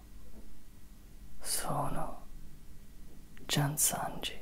Ciao, sono Gian Sanji.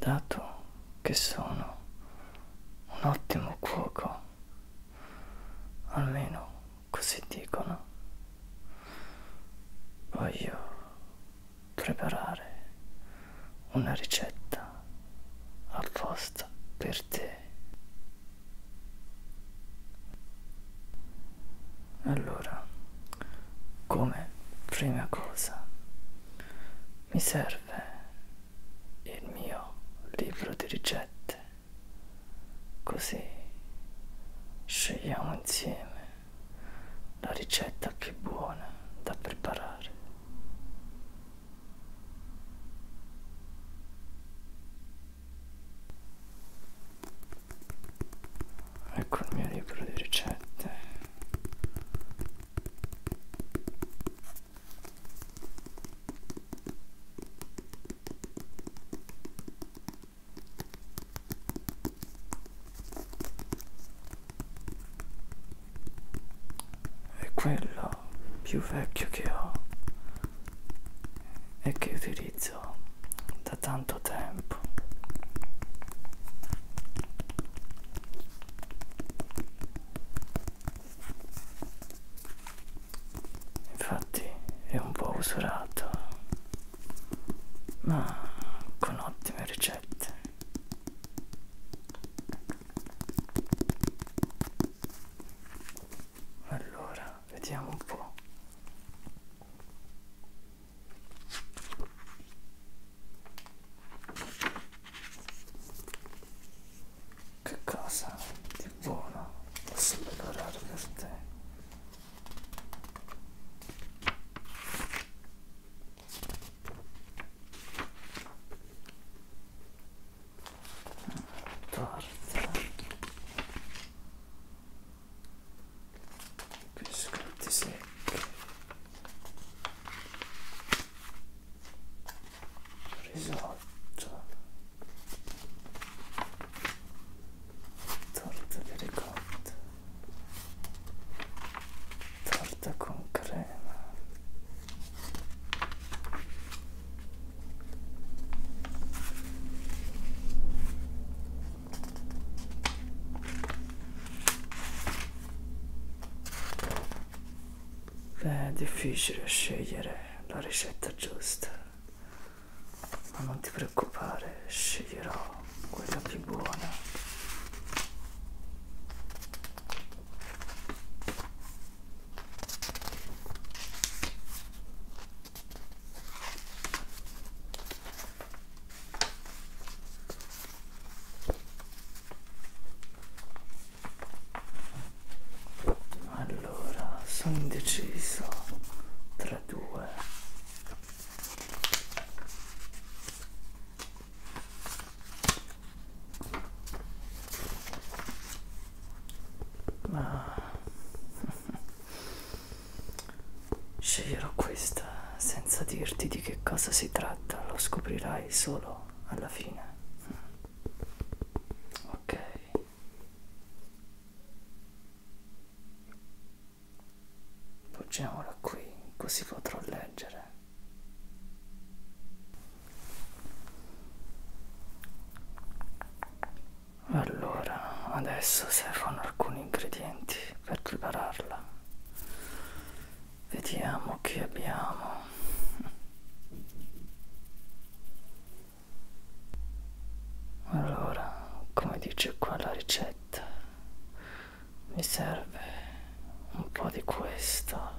dato che sono un ottimo cuoco, almeno così dicono, voglio preparare una ricetta apposta per te. Allora, come prima cosa mi serve il mio libro di ricette, così scegliamo insieme la ricetta più buona da preparare ecco il mio libro di ricette è quello più vecchio che ho e che utilizzo utilizzo da tanto tempo infatti è un po' usurato ma con ottime ricette allora vediamo un po' Che cosa di buono posso preparare per te? Torta biscotti secchi risotto torta di ricotta torta con crema Beh, è difficile scegliere la ricetta giusta, ma non ti preoccupare, sceglierò quella più buona. Allora, sono indeciso tra due. Ma Sceglierò questa senza dirti di che cosa si tratta, lo scoprirai solo alla fine. Mm. Ok. Poggiamola qui, così potrò leggere. Allora, adesso servono alcuni ingredienti per prepararla. Vediamo che abbiamo. Allora, come dice qua la ricetta, mi serve un po' di questo.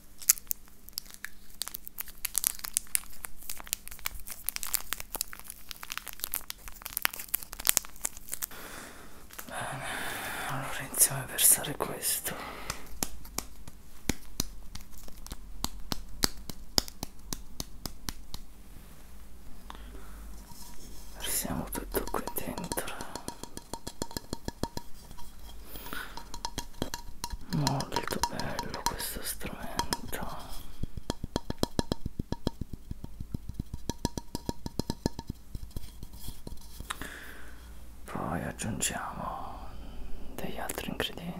Bene, allora iniziamo a versare questo. Versiamo tutto qui dentro molto bello questo strumento poi aggiungiamo degli altri ingredienti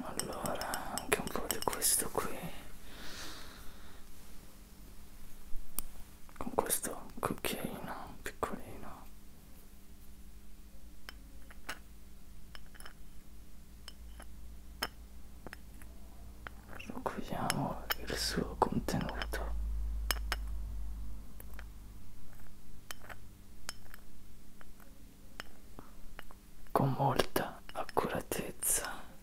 Allora, anche un po' di questo qui con questo cucchiaino piccolino raccogliamo il suo contenuto con molta accuratezza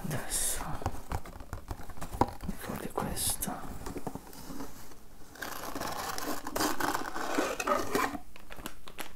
adesso un po' di questo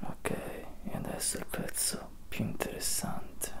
ok e adesso il pezzo più interessante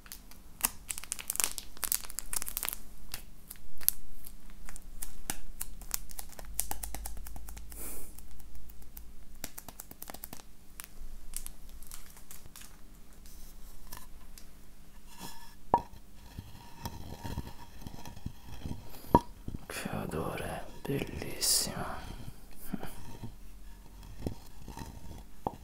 Che odore, bellissima.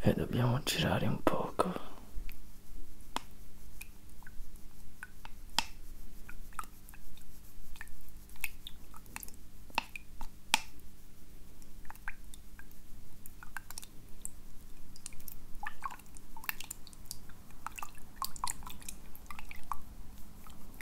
e dobbiamo girare un poco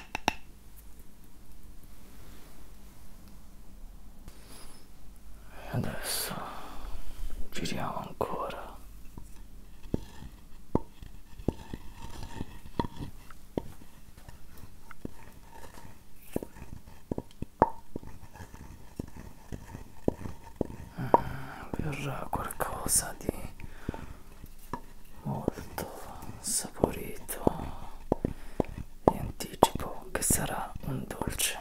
e adesso giriamo ancora mm, verrà qualcosa di molto saporito e anticipo che sarà un dolce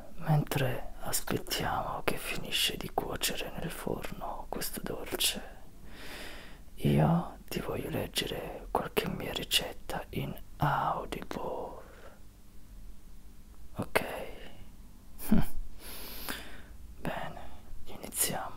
mentre aspettiamo che finisce di cuocere nel forno questo dolce, io ti voglio leggere qualche mia ricetta in Audible. Ok. Bene, iniziamo.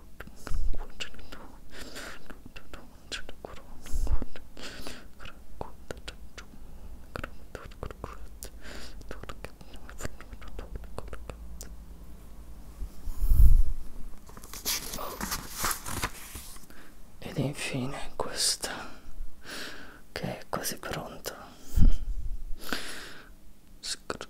Ed infine questa che è quasi pronta. Scordo,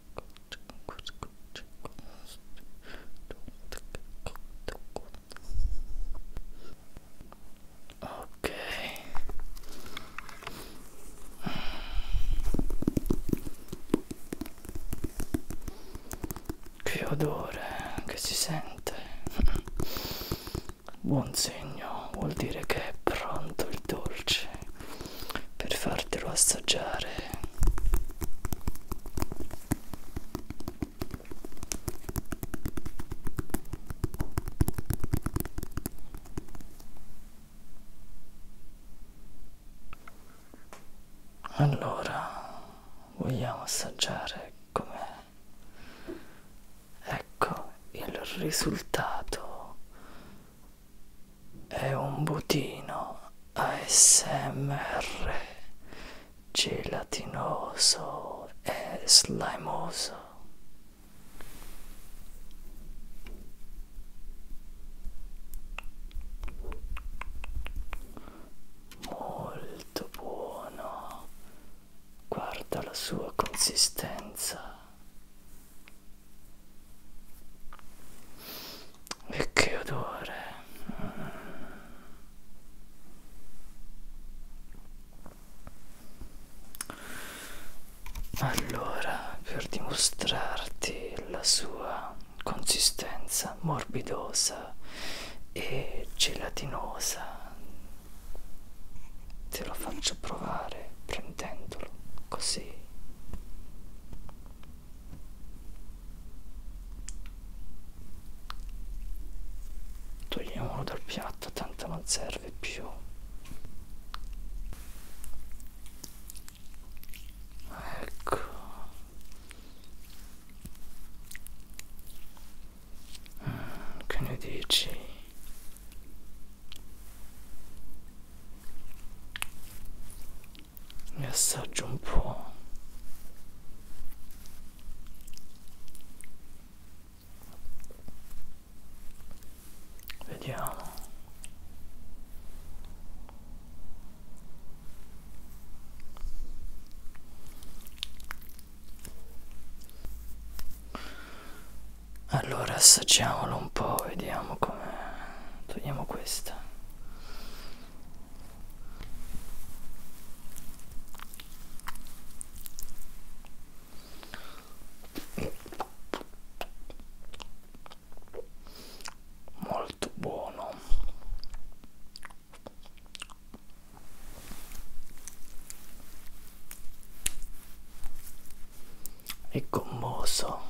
Ok. Che odore che si sente. Buon segno, vuol dire che è pronto il dolce per fartelo assaggiare allora vogliamo assaggiare com'è ecco il risultato è un budino ASMR gelatinoso e slimoso. Molto buono, guarda la sua consistenza e che odore allora per dimostrarti la sua consistenza morbidosa e gelatinosa te lo faccio provare prendendolo così togliamolo dal piatto tanto non serve più ecco mm, che ne dici e assaggio un po' vediamo allora assaggiamolo un po', vediamo com'è. Togliamo questa. Molto buono e commosso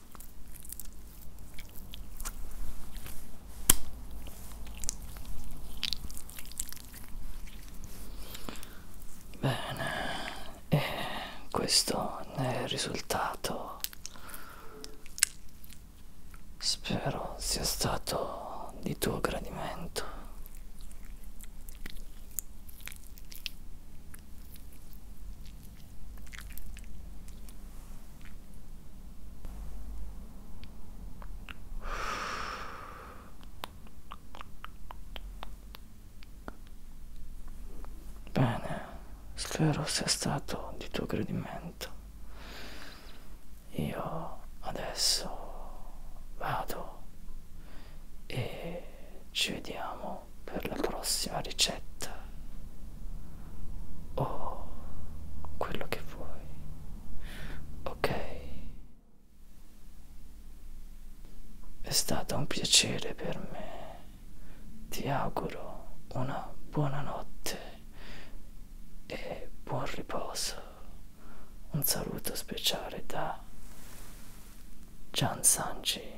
Bene, e questo ne è il risultato. Spero sia stato di tuo gradimento. Bene, spero sia stato di tuo gradimento. Io adesso vado e ci vediamo per la prossima ricetta o quello che vuoi ok è stato un piacere per me ti auguro una buona notte e buon riposo un saluto speciale da Gian Sanji